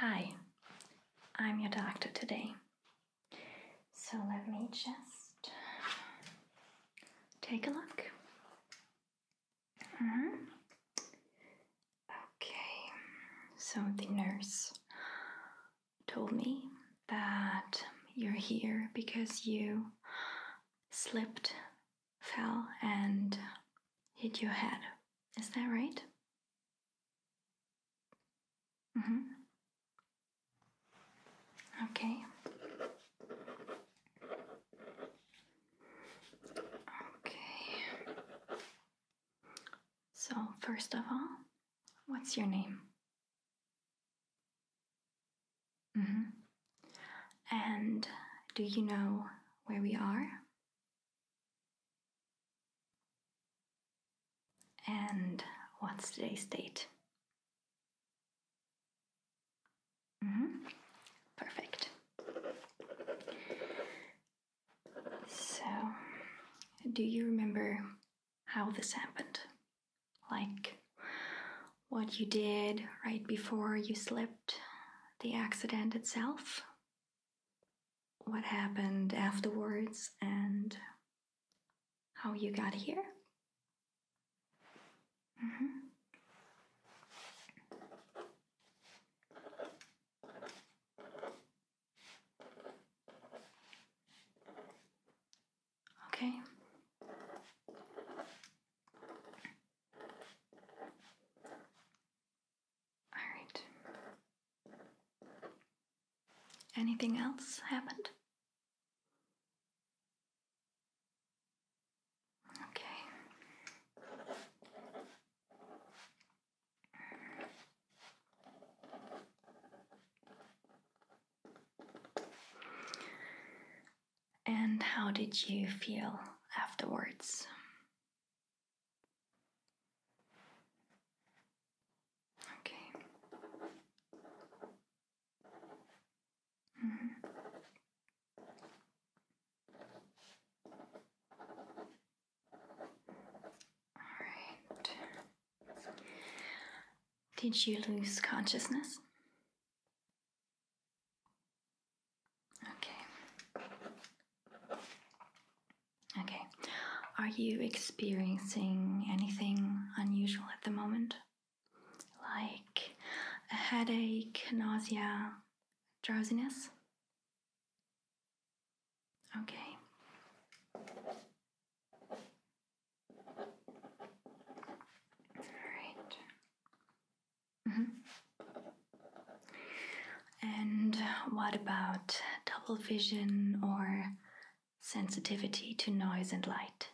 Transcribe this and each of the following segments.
Hi, I'm your doctor today. So let me just take a look. Mm Okay, so the nurse told me that you're here because you slipped, fell, and hit your head. Is that right? Mm -hmm. Okay. Okay. So, first of all, what's your name? Mm -hmm. And do you know where we are? And what's today's date? Mm-hmm. Perfect. So, do you remember how this happened? Like what you did right before you slipped, the accident itself? what happened afterwards and how you got here. Mm-hmm. Okay. Alright. Anything else happened? Okay. And how did you feel afterwards? Okay. -hmm. All right. Did you lose consciousness? Okay. Okay. Are you experiencing anything unusual at the moment? Like a headache, nausea, drowsiness? Okay. All right. Mm -hmm. And what about double vision or sensitivity to noise and light?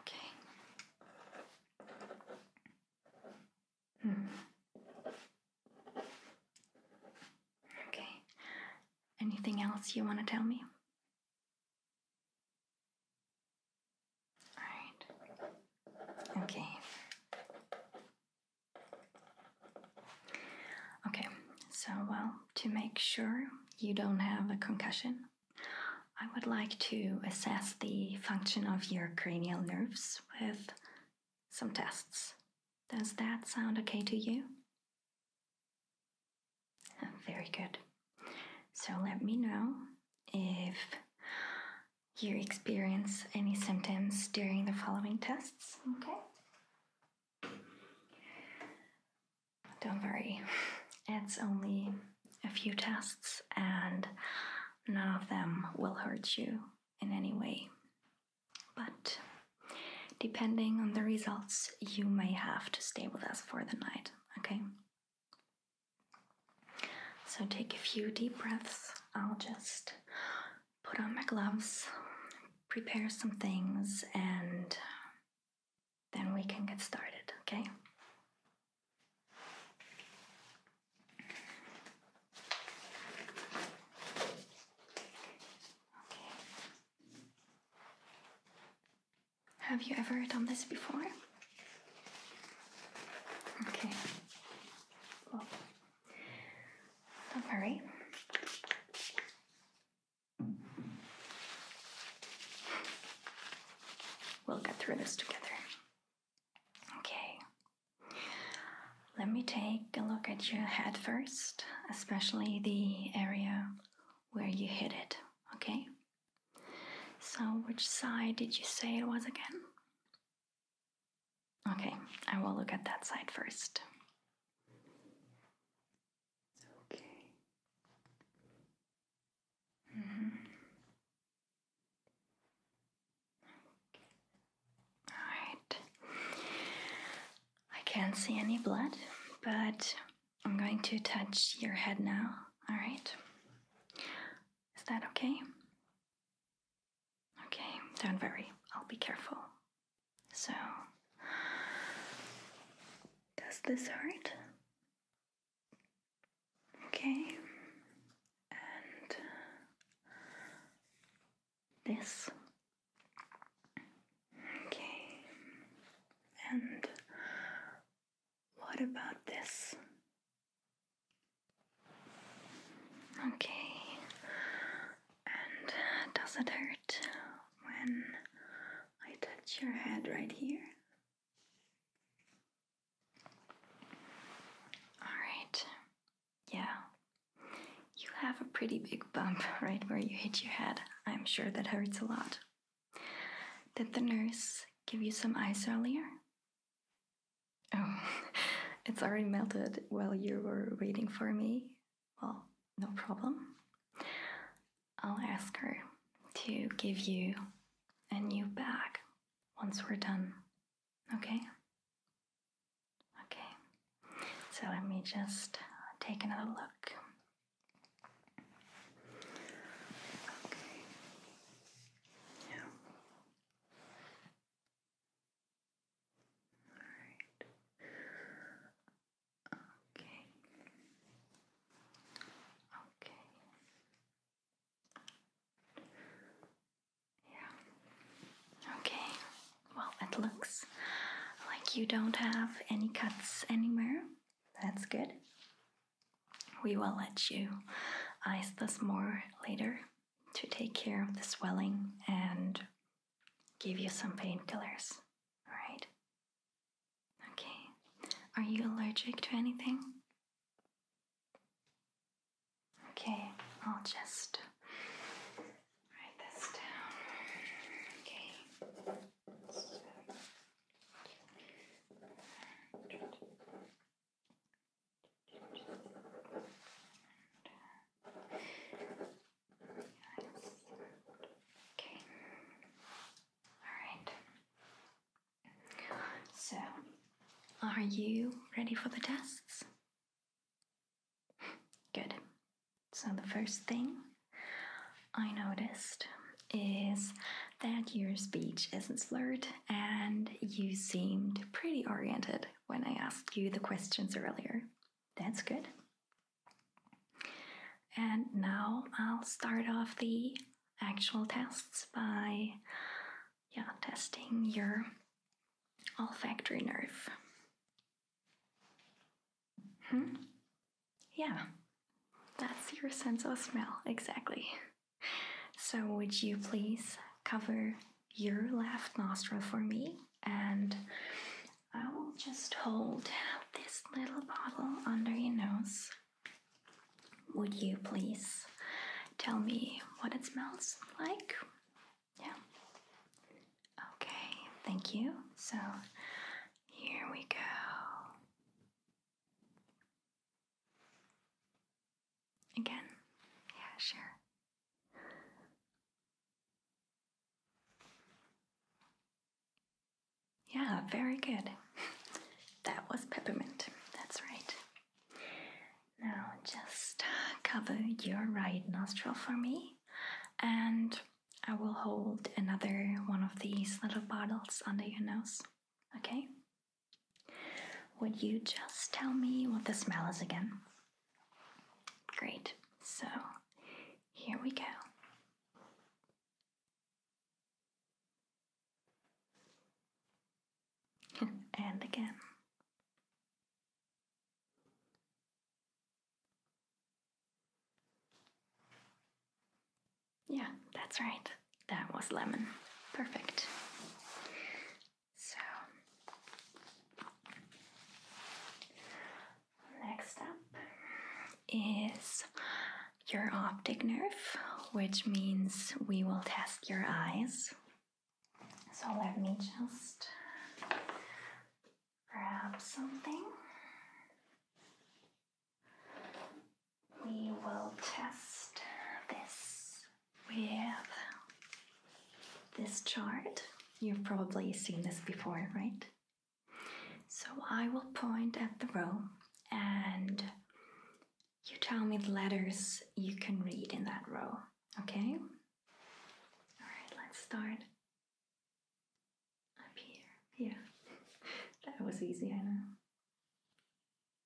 Okay. Hmm. Okay. Anything else you want to tell me? All right. Okay. Okay, so well, to make sure you don't have a concussion, I would like to assess the function of your cranial nerves with some tests. Does that sound okay to you? Very good. So let me know if you experience any symptoms during the following tests, okay? Don't worry, it's only a few tests and none of them will hurt you in any way. But depending on the results, you may have to stay with us for the night, okay? So take a few deep breaths. I'll just put on my gloves, prepare some things, and then we can get started, okay? Okay. Have you ever done this before? Okay. Don't worry. We'll get through this together. Okay. Let me take a look at your head first, especially the area where you hit it, okay? So, which side did you say it was again? Okay, I will look at that side first. Okay. Mm -hmm. All right. I can't see any blood, but I'm going to touch your head now. All right. Is that okay? Okay, don't worry, I'll be careful. So, does this hurt? Okay, and this. Okay, and what about this? Okay, and uh, does it hurt when I touch your head right here? Alright, yeah. You have a pretty big bump right where you hit your head. I'm sure that hurts a lot. Did the nurse give you some ice earlier? Oh, it's already melted while you were waiting for me. Well, no problem. I'll ask her to give you a new bag once we're done. Okay? Okay. So let me just take another look. Yeah. Okay. Okay. Yeah. Okay. Well, it looks like you don't have any cuts anywhere. That's good. We will let you ice this more later to take care of the swelling and give you some painkillers. Alright? Okay. Are you allergic to anything? Okay, I'll just write this down. Okay. Okay. Alright. So, are you ready for the tests? Good. So, the first thing I noticed is that your speech isn't slurred and you seemed pretty oriented when I asked you the questions earlier. That's good. And now I'll start off the actual tests by yeah, testing your olfactory nerve. Hmm? Yeah, that's your sense of smell, exactly. So, would you please cover your left nostril for me, and I will just hold this little bottle under your nose. Would you please tell me what it smells like? Yeah. Okay, thank you. So here we go. Again? Yeah, sure. Yeah, very good. that was peppermint. That's right. Now just cover your right nostril for me, and I will hold another one of these little bottles under your nose. Okay? Would you just tell me what the smell is again? Great, so here we go. and again. Yeah, that's right. That was lemon. Perfect. So, next up is your optic nerve, which means we will test your eyes. So, let me just grab something. We will test this with this chart. You've probably seen this before, right? So I will point at the row and you tell me the letters you can read in that row, okay? All right, let's start up here. Yeah, that was easy, I know.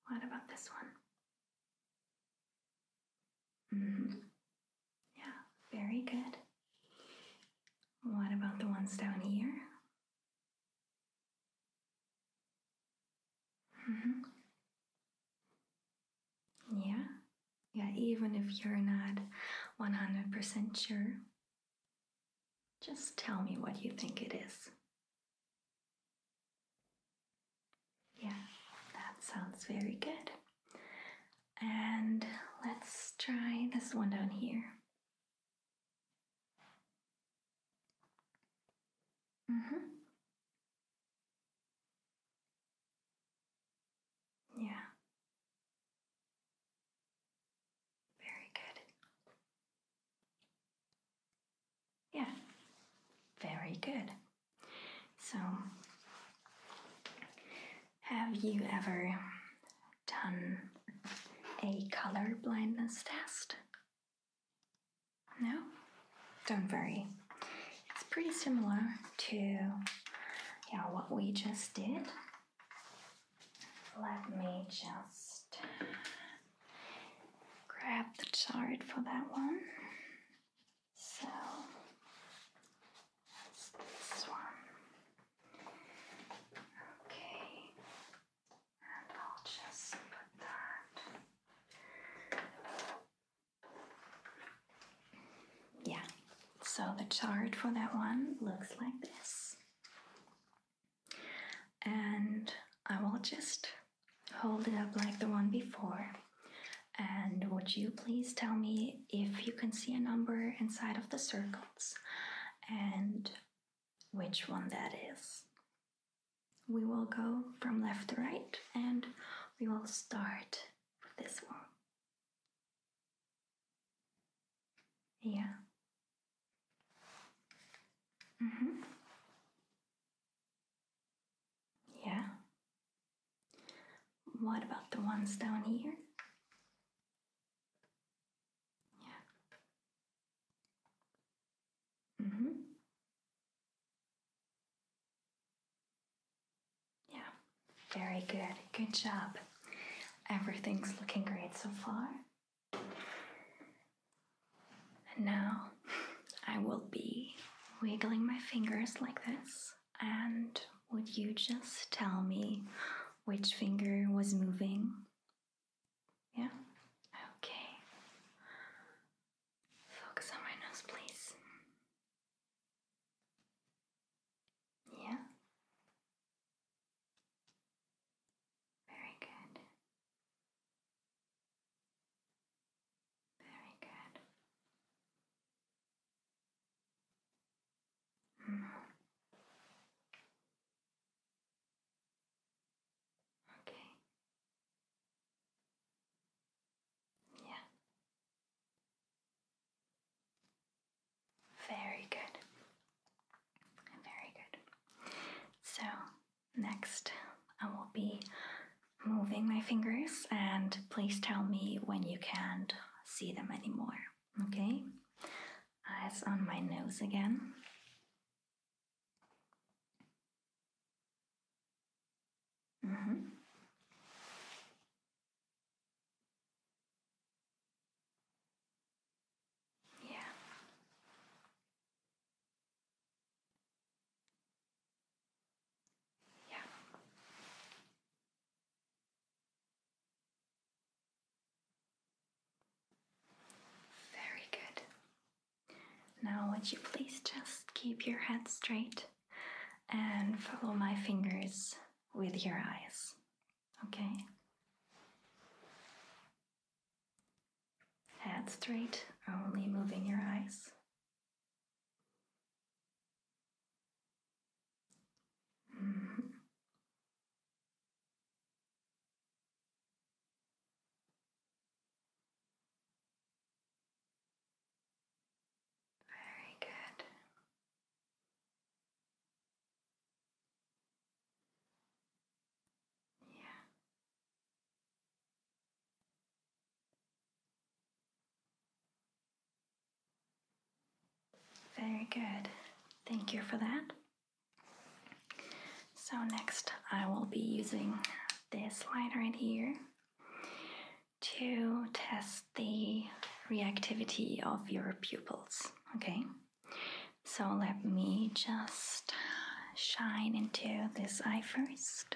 What about this one? Mm-hmm. Yeah, very good. What about the ones down here? Mm-hmm. Yeah, yeah, even if you're not 100% sure, just tell me what you think it is. Yeah, that sounds very good. And let's try this one down here. Mm-hmm. Yeah. Very good. Yeah. Very good. So, have you ever done a color blindness test? No? Don't worry. It's pretty similar to yeah, what we just did. Let me just grab the chart for that one. So that's this one. Okay, and I'll just put that. Yeah, so the chart for that one looks like this. And I will just hold it up like the one before and would you please tell me if you can see a number inside of the circles and which one that is? We will go from left to right and we will start with this one. Yeah. Mm-hmm. Yeah. What about the ones down here? Yeah. Mm hmm. Yeah, very good. Good job. Everything's looking great so far. And now I will be wiggling my fingers like this and would you just tell me which finger was moving? Yeah? Okay. Focus on my nose, please. Yeah? Very good. Very good. Okay. Yeah. Very good. Very good. So, next I will be moving my fingers, and please tell me when you can see them anymore. Okay? Eyes on my nose again. Mm-hmm. Yeah. Yeah. Very good. Now, would you please just keep your head straight and follow my fingers with your eyes? Okay? Head straight, only moving your eyes. Very good. Yeah. Very good. Thank you for that. So next I will be using this line right here to test the reactivity of your pupils, okay? So let me just shine into this eye first.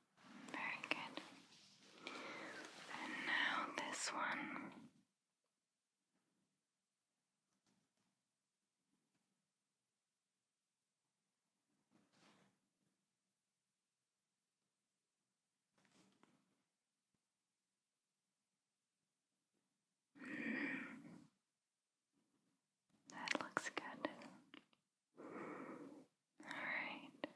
Very good. And now this one. Hmm. That looks good. All right.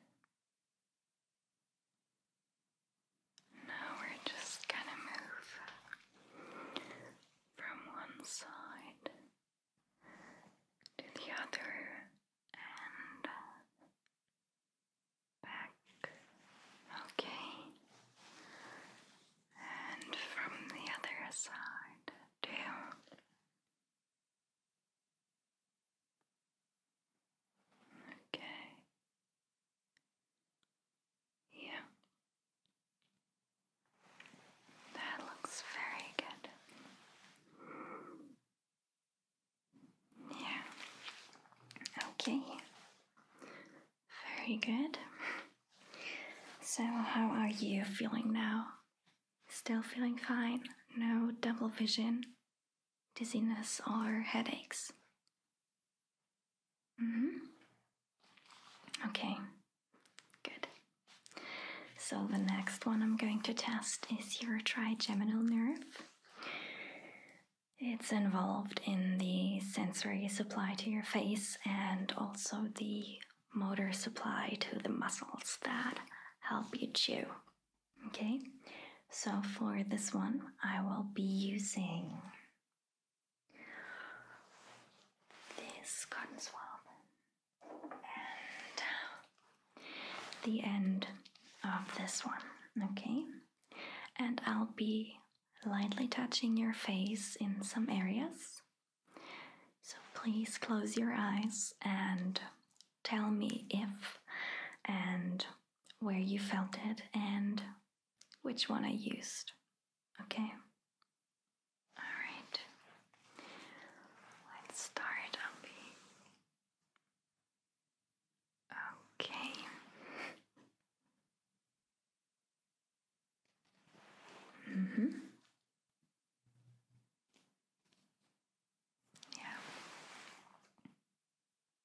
Now we're just gonna move from one side to the other and back. Okay. And from the other side too. Okay. Yeah. That looks very good. Yeah. Okay. Very good. So, how are you feeling now? Still feeling fine? No double vision? dizziness or headaches? -hmm. Okay, good. So the next one I'm going to test is your trigeminal nerve. It's involved in the sensory supply to your face and also the motor supply to the muscles that help you chew. Okay, so for this one, I will be using this cotton swab and the end of this one. Okay, and I'll be lightly touching your face in some areas. So please close your eyes and tell me if and where you felt it, and which one I used. Okay? Alright. Let's start Okay. Mm-hmm. Yeah.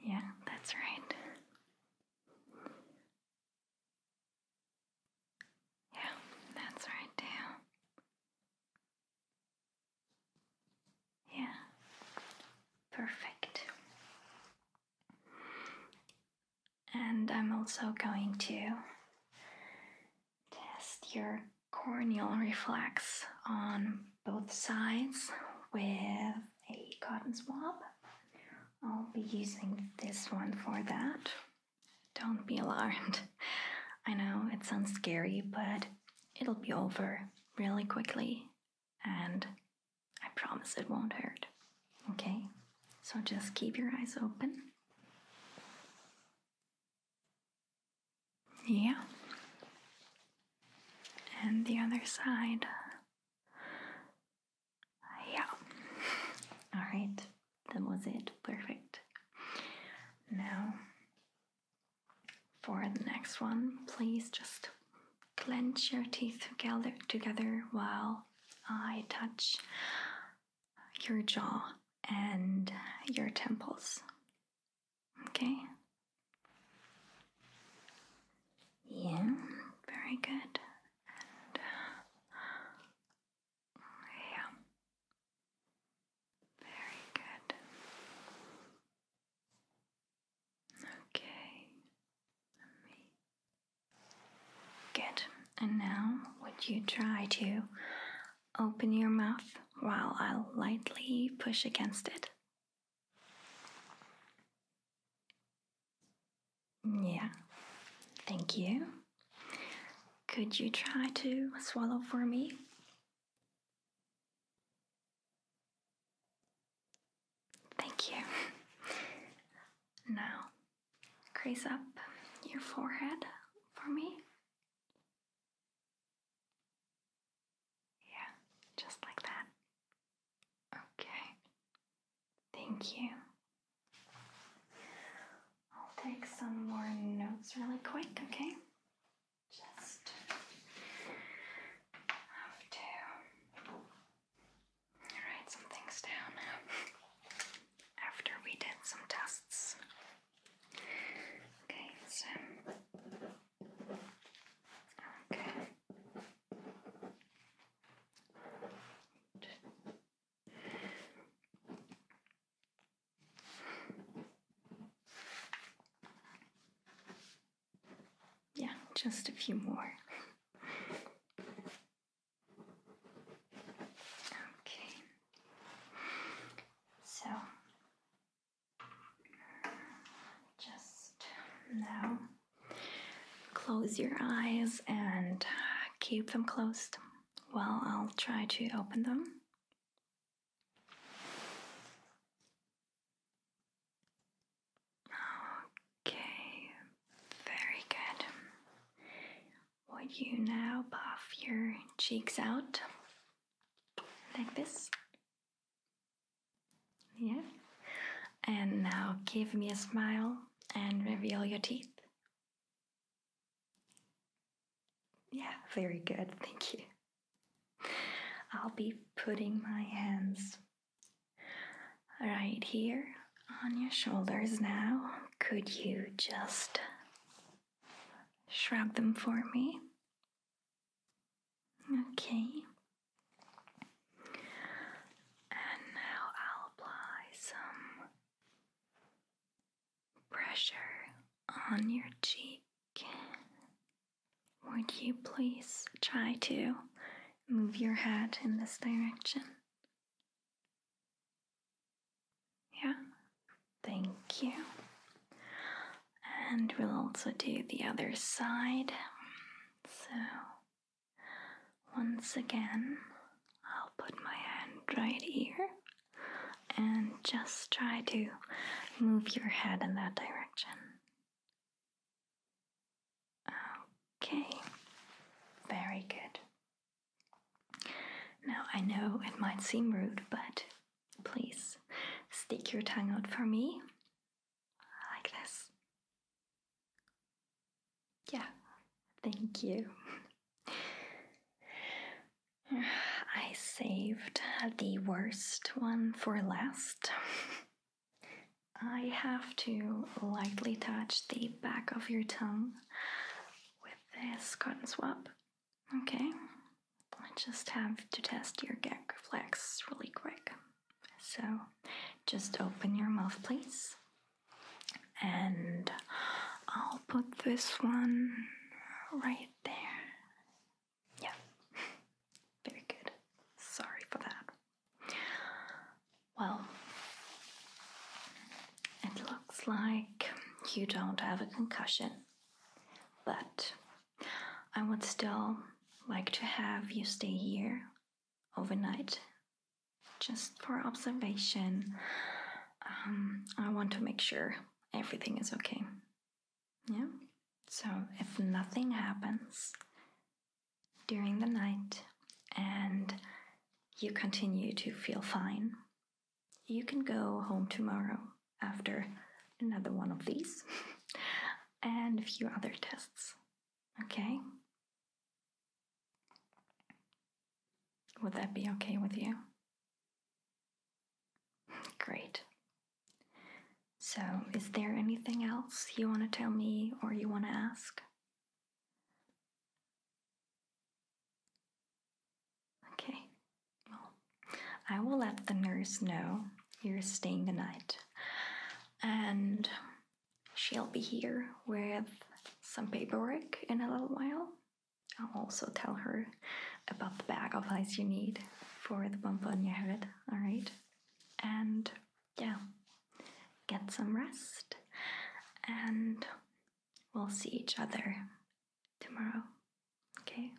Yeah, that's right. Yeah, that's right, too. Yeah, perfect. And I'm also going to test your corneal reflex on both sides with a cotton swab. I'll be using this one for that. Don't be alarmed. I know it sounds scary, but it'll be over really quickly and I promise it won't hurt. Okay? So just keep your eyes open. Yeah. And the other side. Yeah. Alright, that was it. Perfect. Now, for the next one, please just clench your teeth together while I touch your jaw and your temples. Okay. Yeah, very good. yeah, very good. Okay, Good. And now, would you try to Open your mouth while I lightly push against it. Yeah, thank you. Could you try to swallow for me? Thank you. Now, raise up your forehead for me. Yeah, just like that. Okay. Thank you. I'll take some more notes really quick, okay? Just have to write some things down after we did some tests. Okay, so okay. Yeah, just a few more. okay. So just now, close your eyes and keep them closed while I'll try to open them. Okay, very good. Would you now puff your cheeks out like this? Yeah. And now give me a smile and reveal your teeth. Yeah, very good. Thank you. I'll be putting my hands right here on your shoulders now. Could you just shrug them for me? Okay. And now I'll apply some pressure on your cheek. Would you please try to move your head in this direction? Yeah, thank you and we'll also do the other side. So, once again, I'll put my hand right here and just try to move your head in that direction. Okay, very good. Now, I know it might seem rude, but Please stick your tongue out for me. Like this. Yeah, thank you. I saved the worst one for last. I have to lightly touch the back of your tongue with this cotton swab. Okay, I just have to test your gag reflex really quick. So just open your mouth, please. And I'll put this one right there. Yeah. Very good. Sorry for that. Well, it looks like you don't have a concussion, but I would still like to have you stay here overnight just for observation. Um, I want to make sure everything is okay. Yeah? So if nothing happens during the night and you continue to feel fine, you can go home tomorrow after another one of these and a few other tests. Okay? Would that be okay with you? Great. So, is there anything else you want to tell me or you want to ask? Okay. I will let the nurse know you're staying the night, and she'll be here with some paperwork in a little while. I'll also tell her about the bag of ice you need for the bump on your head, alright? And yeah, get some rest, and we'll see each other tomorrow, okay?